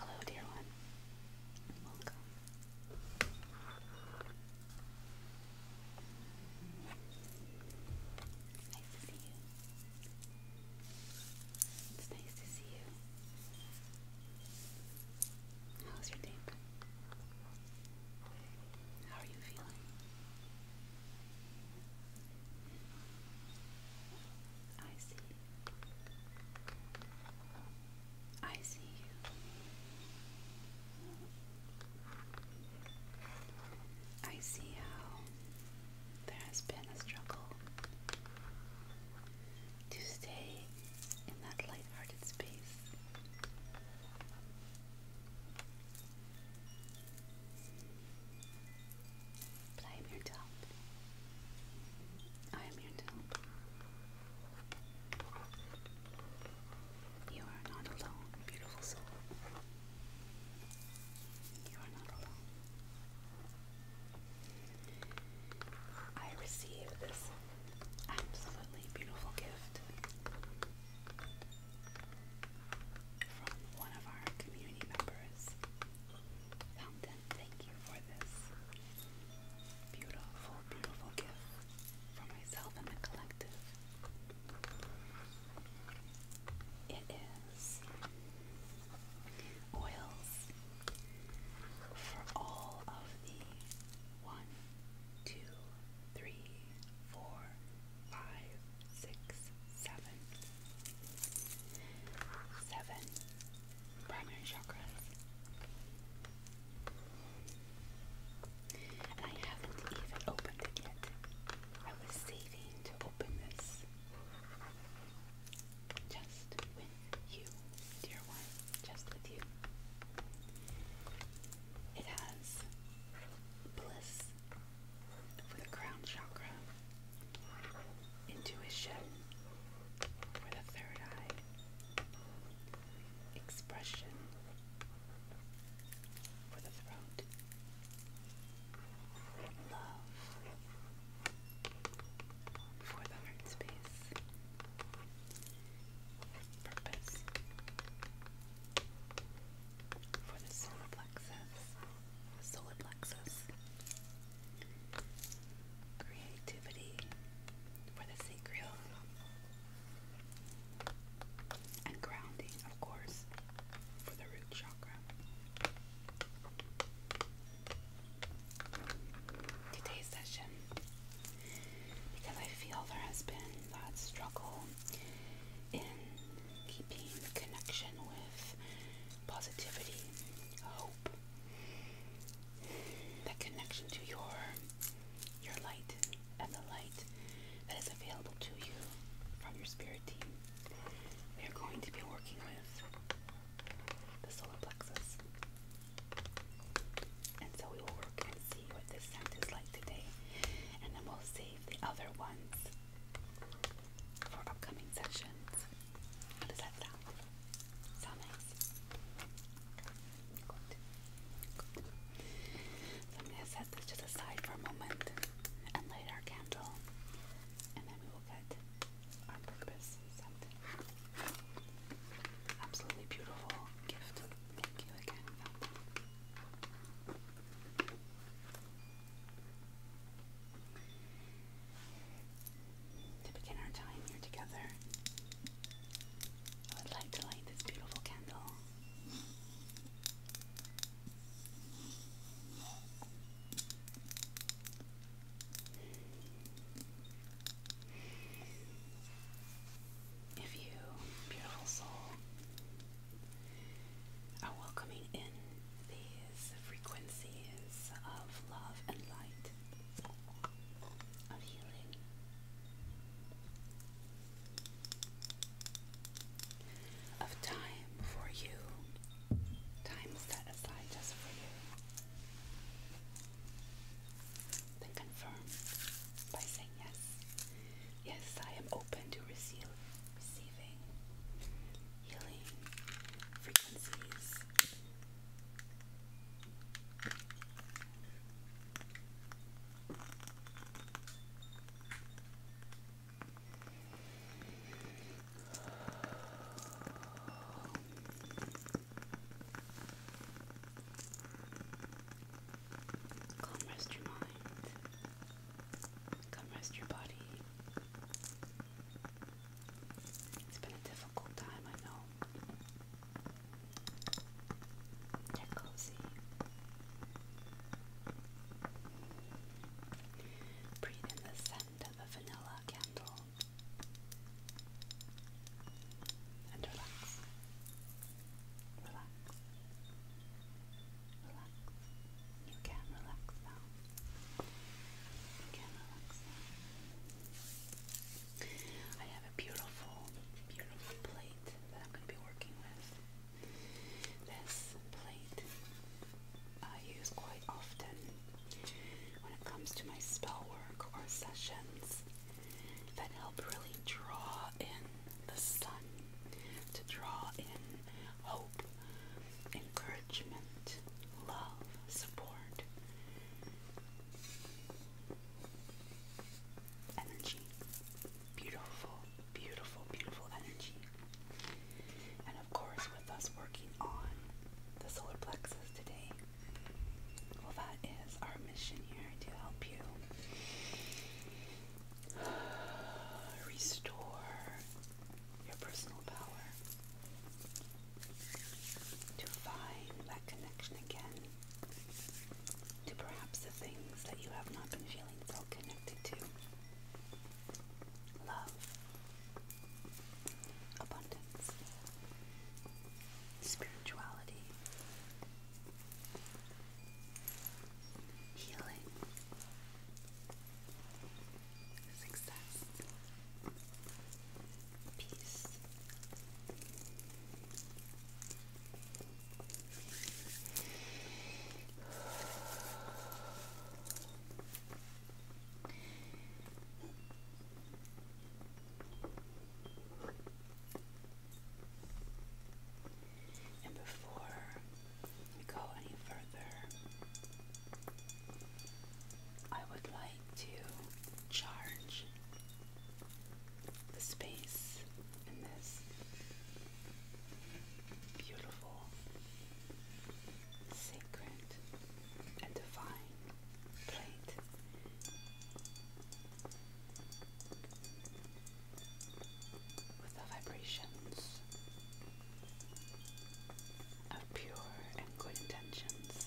Hello, dear one. Welcome. Nice to see you. It's nice to see you. How's your day? How are you feeling? I see. I see you. I see how there has been a struggle to stay in that light-hearted space. I am here to I am here to You are not alone, beautiful soul. You are not alone. I receive this Absolutely beautiful gift from one of our community members. Fountain, thank you for this beautiful, beautiful gift for myself and the collective. It is oils for all of the one, two, three, four, five, primary chakras. I haven't even opened it yet. I was saving to open this just with you, dear one, just with you. It has bliss for the crown chakra, intuition for the third eye, expression for the throat, love for the heart space purpose for the solar plexus. Solar plexus. Creativity for the sacral. And grounding, of course, for the root chakra. Today's session because I feel there has been that struggle in keeping the connection with positivity, hope, that connection to your your light and the light that is available to you from your spirit team. We are going to be working with the solar plexus. And so we will work and see what this scent is like today. And then we'll save the other ones for upcoming sessions. How does that sound? Sound nice? So I'm going to set this to the for a moment and light our candle. And then we will get our purpose Absolutely beautiful gift. Thank you To begin our time here together, I would like to light this beautiful candle if you, beautiful soul, are welcoming in these frequencies of love and light, of healing. Of time for you, time set aside just for you then confirm by saying yes. Yes, I am open to receive, receiving healing frequencies. Come rest your mind. Come rest your body. It's been a difficult time, I know. Get cozy. Breathe in the scent of a vanilla candle and relax relax, relax. You can relax now. You can relax now. I have a beautiful, beautiful plate that I'm going to be working with. This plate I use quite often when it comes to my spell work or sessions that help really draw in the sun, to draw in hope, encouragement, love, support, energy. Beautiful, beautiful, beautiful energy. And of course, with us working on the solar plexus today, well, that is our mission here to help you Restore your personal power to find that connection again to perhaps the things that you have not been feeling so connected to. Love, abundance, spirituality, healing, success, peace. And before we go any further, I would like to charge the space in this beautiful, sacred, and divine plate with the vibrations of pure and good intentions.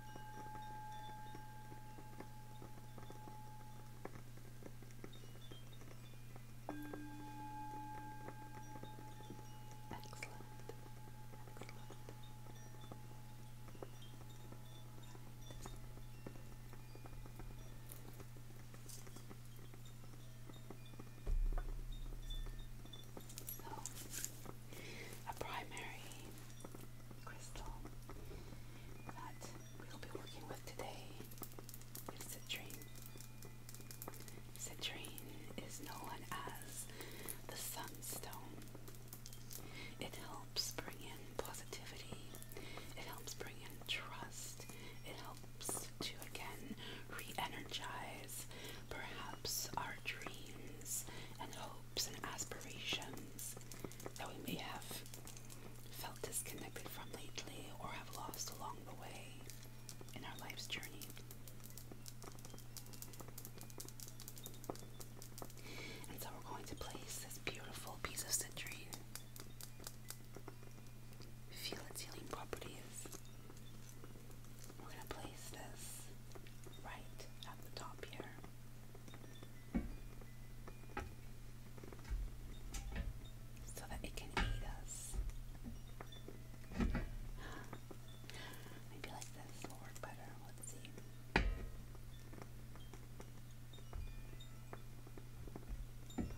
Excellent. Excellent a primary crystal that we'll be working with today citrine. Citrine is known as the sunstone. It helps bring in positivity. It helps bring in trust. It helps to again re energize perhaps our dreams and hope and aspirations that we may have felt disconnected from lately or have lost along the way in our life's journey. And so we're going to place this beautiful piece of citrine. Feel its healing properties. We're going to place this right at the top here. So that it can eat us. Maybe like this will work better. Let's see. That's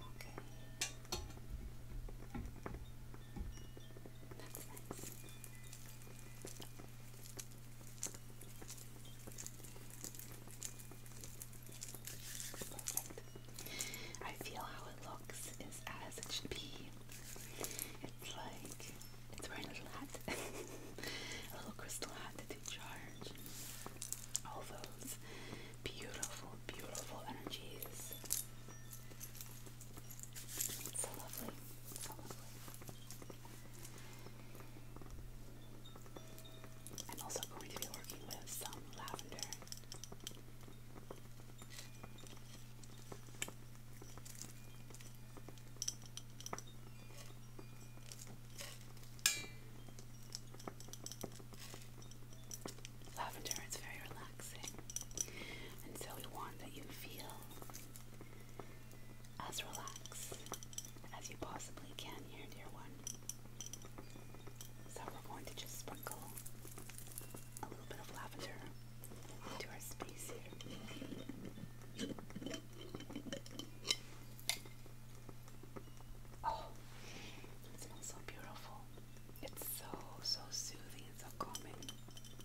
nice. I feel how it looks is as it should be. It's like it's wearing a little hat, a little crystal hat that they charge. All those beautiful, beautiful energies. so lovely. So lovely. I'm also going to be working with some lavender. Lavender is very relaxing, and so we want that you feel as relaxed as you possibly can here, dear one. So we're going to just sprinkle a little bit of lavender into our space here. Oh, it smells so beautiful. It's so, so soothing and so calming.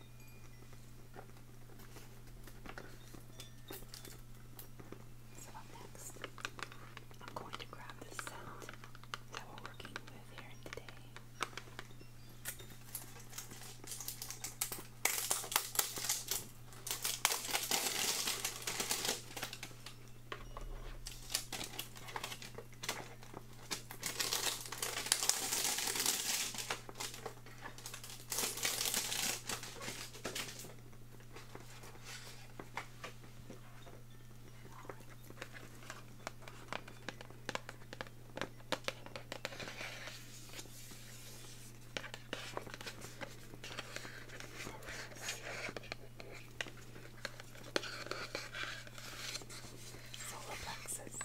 So up next, I'm going to grab the scent that we're working with here today. Solar plexus.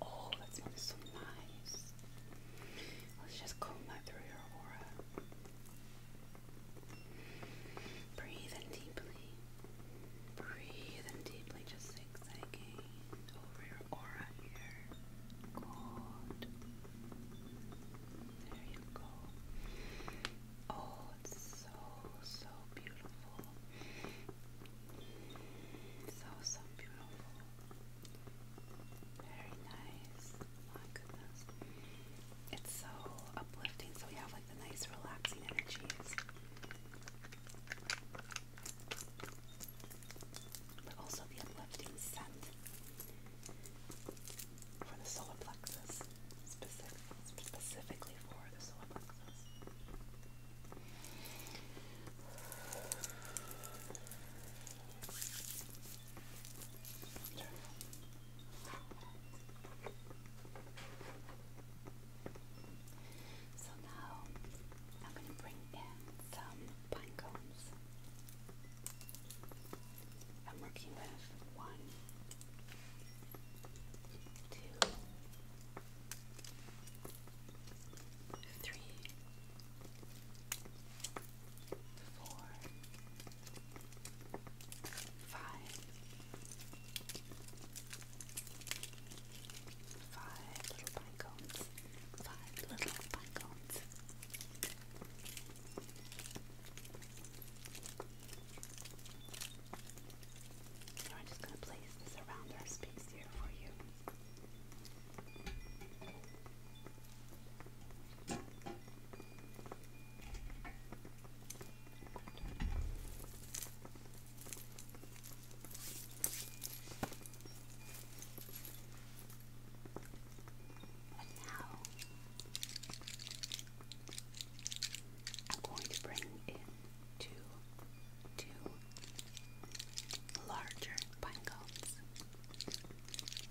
Oh, that smells so nice. Let's just comb that through your aura. Breathe in deeply. Breathe in deeply, just zigzagging over your aura here. Good. There you go. Oh, it's so, so beautiful. So, so beautiful. Very nice. My goodness. It's so uplifting, so we have like the nice, relaxing energies. But also the uplifting scent for the solar plexus, specifically for the solar plexus. So now I'm going to bring in some pine cones. I'm working with one, two, three, four, five, five little pine cones, five little pine cones. So I'm just going to place this around our space here for you. And now I'm going to bring in two, two larger pine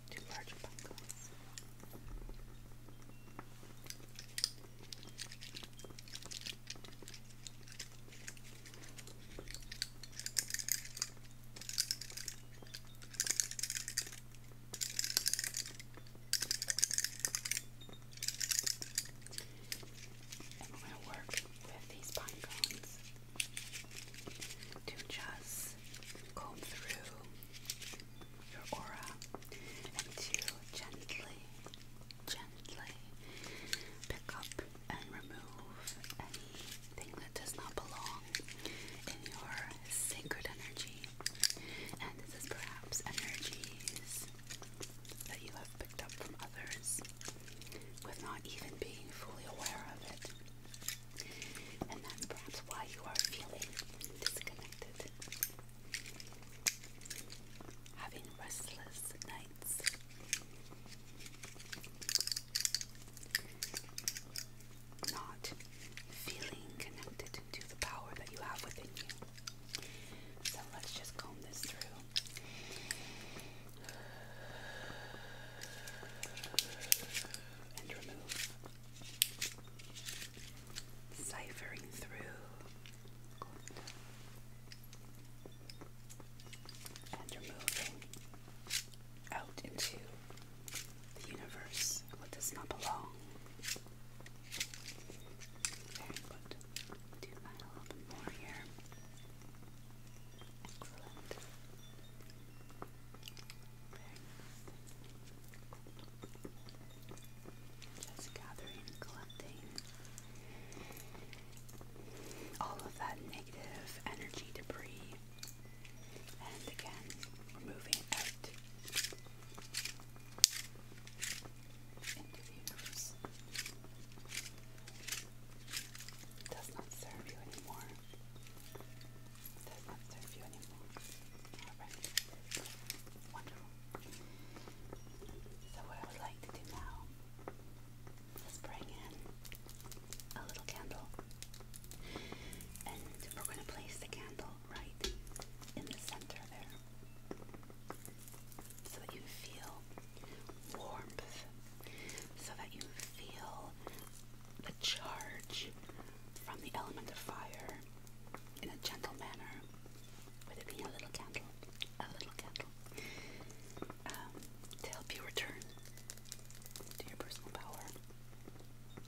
Two larger pine cones. And we going to work with these pine cones to just comb through your aura and to gently, gently pick up and remove anything that does not belong in your sacred energy, and this is perhaps energies that you have picked up from others without even being fully aware of it. And that's perhaps why you are feeling disconnected, having restless nights not feeling connected to the power that you have within you. So let's just comb this through. And remove. Ciphering through. And removing out into the universe, what does not belong. Very good. Do that a little bit more here. Excellent. Just gathering collecting all of that negative energy debris. And again, removing it into does not serve you anymore. does not serve you anymore. So what I would like to do now is bring in a little candle. And we're going to place the candle right in the center there so that you feel warmth, so that you feel the charge from the element of fire in a gentle manner, with it being a little candle, a little candle, um, to help you return to your personal power.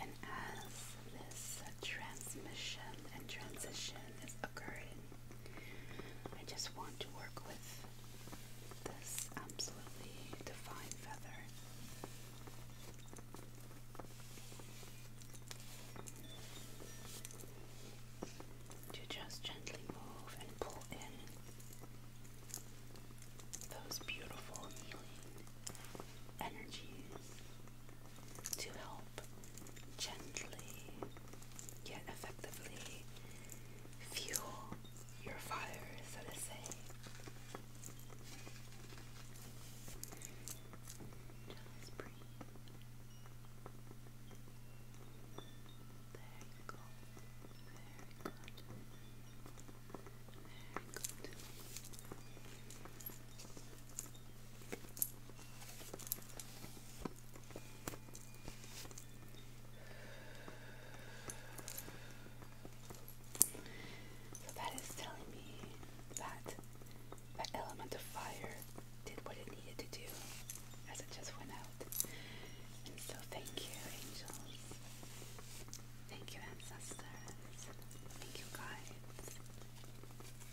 And as this transmission and transition is occurring, I just want to work with this absolutely defined feather. To just gently move and pull in those beautiful healing energies to help gently yet effectively fuel your fire, so to say. Just breathe. There you Very good. Very good. So that is telling me that that element of fire did what it needed to do as it just went out. And so thank you, angels. Thank you, ancestors. Thank you, guides.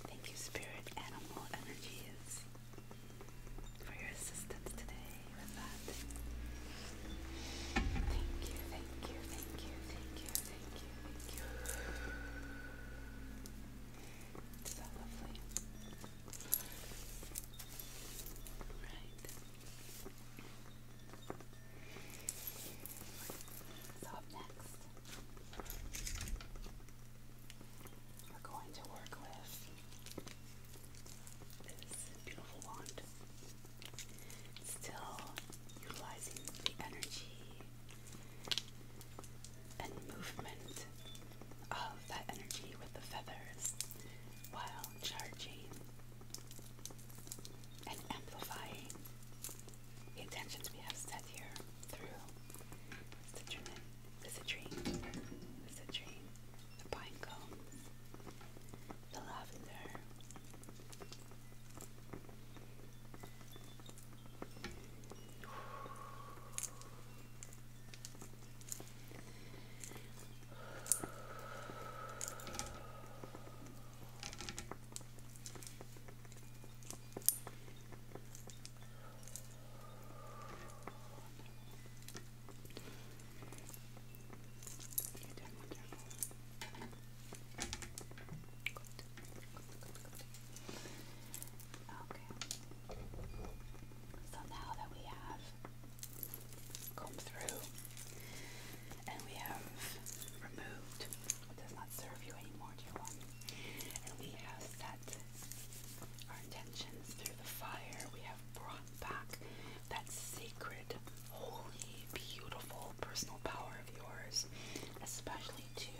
Thank you, Spirit Animal Energies, for your assistance today with that. Thank you, thank you, thank you, thank you, thank you, thank you. So up next are going to work with this beautiful wand. Still utilizing the energy and movement of that energy with the feathers while charging and amplifying the intentions we have set here through citrine, the citrine, the citrine, the pine cones, the lavender, Okay. So now that we have come through and we have removed serve you anymore, dear one. And we have set our intentions through the fire. We have brought back that sacred, holy, beautiful personal power of yours, especially to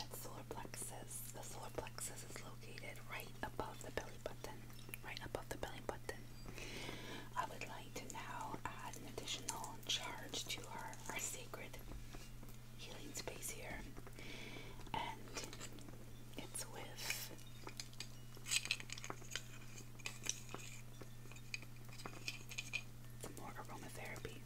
that solar plexus. The solar plexus is located right above the belly button, right above the belly button. I would like to now add an additional charge to our, our sacred healing space here, and it's with more aromatherapy.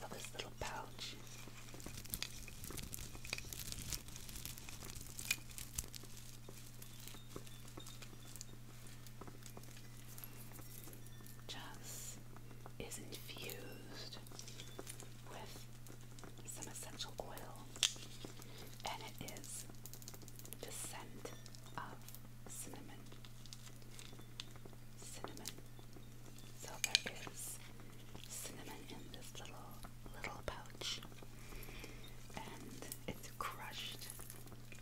So this little pouch just is infused with some essential oil, and it is the scent of cinnamon. Cinnamon. So there is cinnamon in this little little pouch, and it's crushed.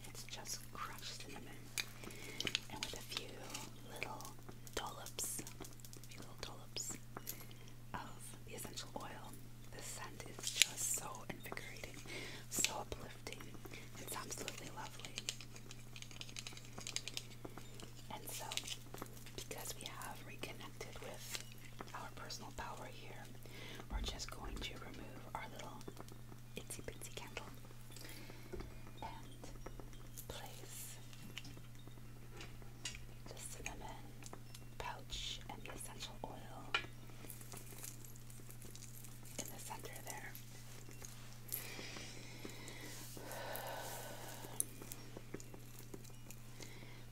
It's just crushed in the middle, And with a few little dollops, a few little dollops of the essential oil, the scent is just so invigorating, so uplifting. It's absolutely lovely. And so, because we have reconnected with our personal power here. We're just going to remove our little itsy bitsy candle and place the cinnamon pouch and the essential oil in the center there.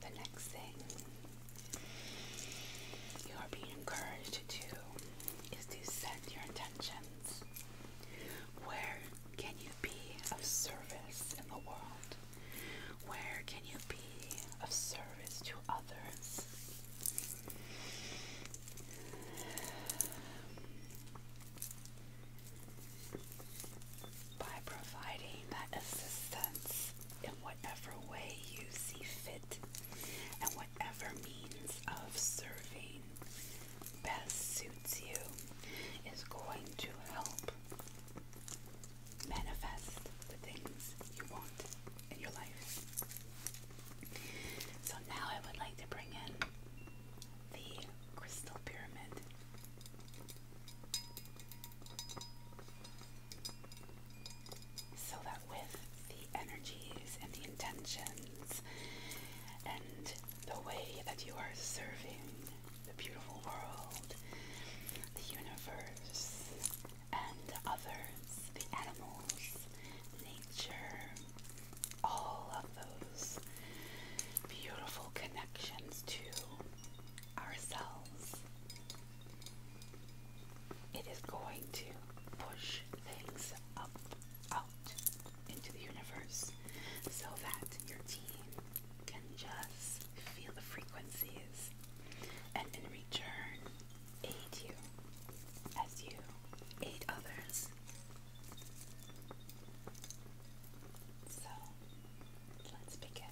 The next thing you are being encouraged to is to set your intentions. Where can you be of service in the world? Where can you be of service to others? By providing that assistance in whatever way you see fit and whatever means of serving best suits you is going to help manifest the things you want in your life. So now I would like to bring in the crystal pyramid so that with the energies and the intentions and the way that you are serving the beautiful world, the universe, and others, the animals, nature, all of those beautiful connections to ourselves it is going to push things up, out into the universe so that your team can just feel the frequencies and in return aid you as you aid others. So let's begin.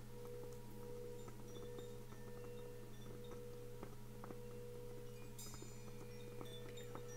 So nice, feels so nice.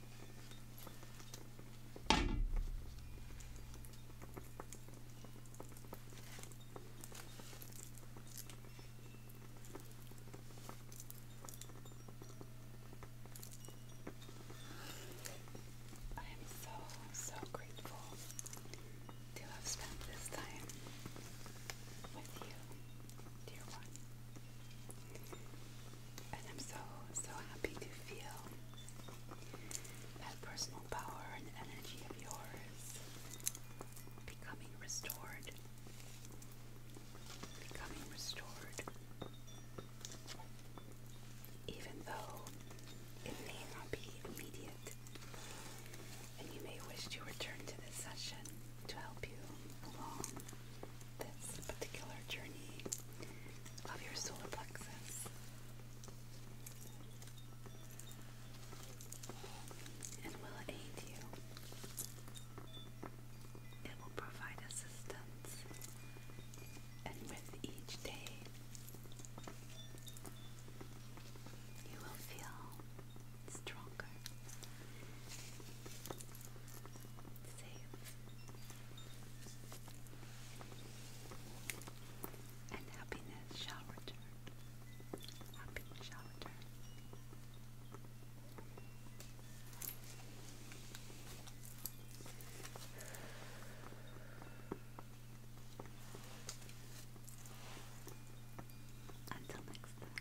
I am so, so grateful to have spent this time with you, dear one. And I'm so, so happy to feel that personal power and energy of yours becoming restored. Becoming restored. Even though it may not be immediate, and you may wish to return to this session to help you along this particular journey of your solar plexus. It will aid you. It will provide assistance. And with each day, you will feel stronger, safe, and happiness shall return. Happiness shall return. Until next time.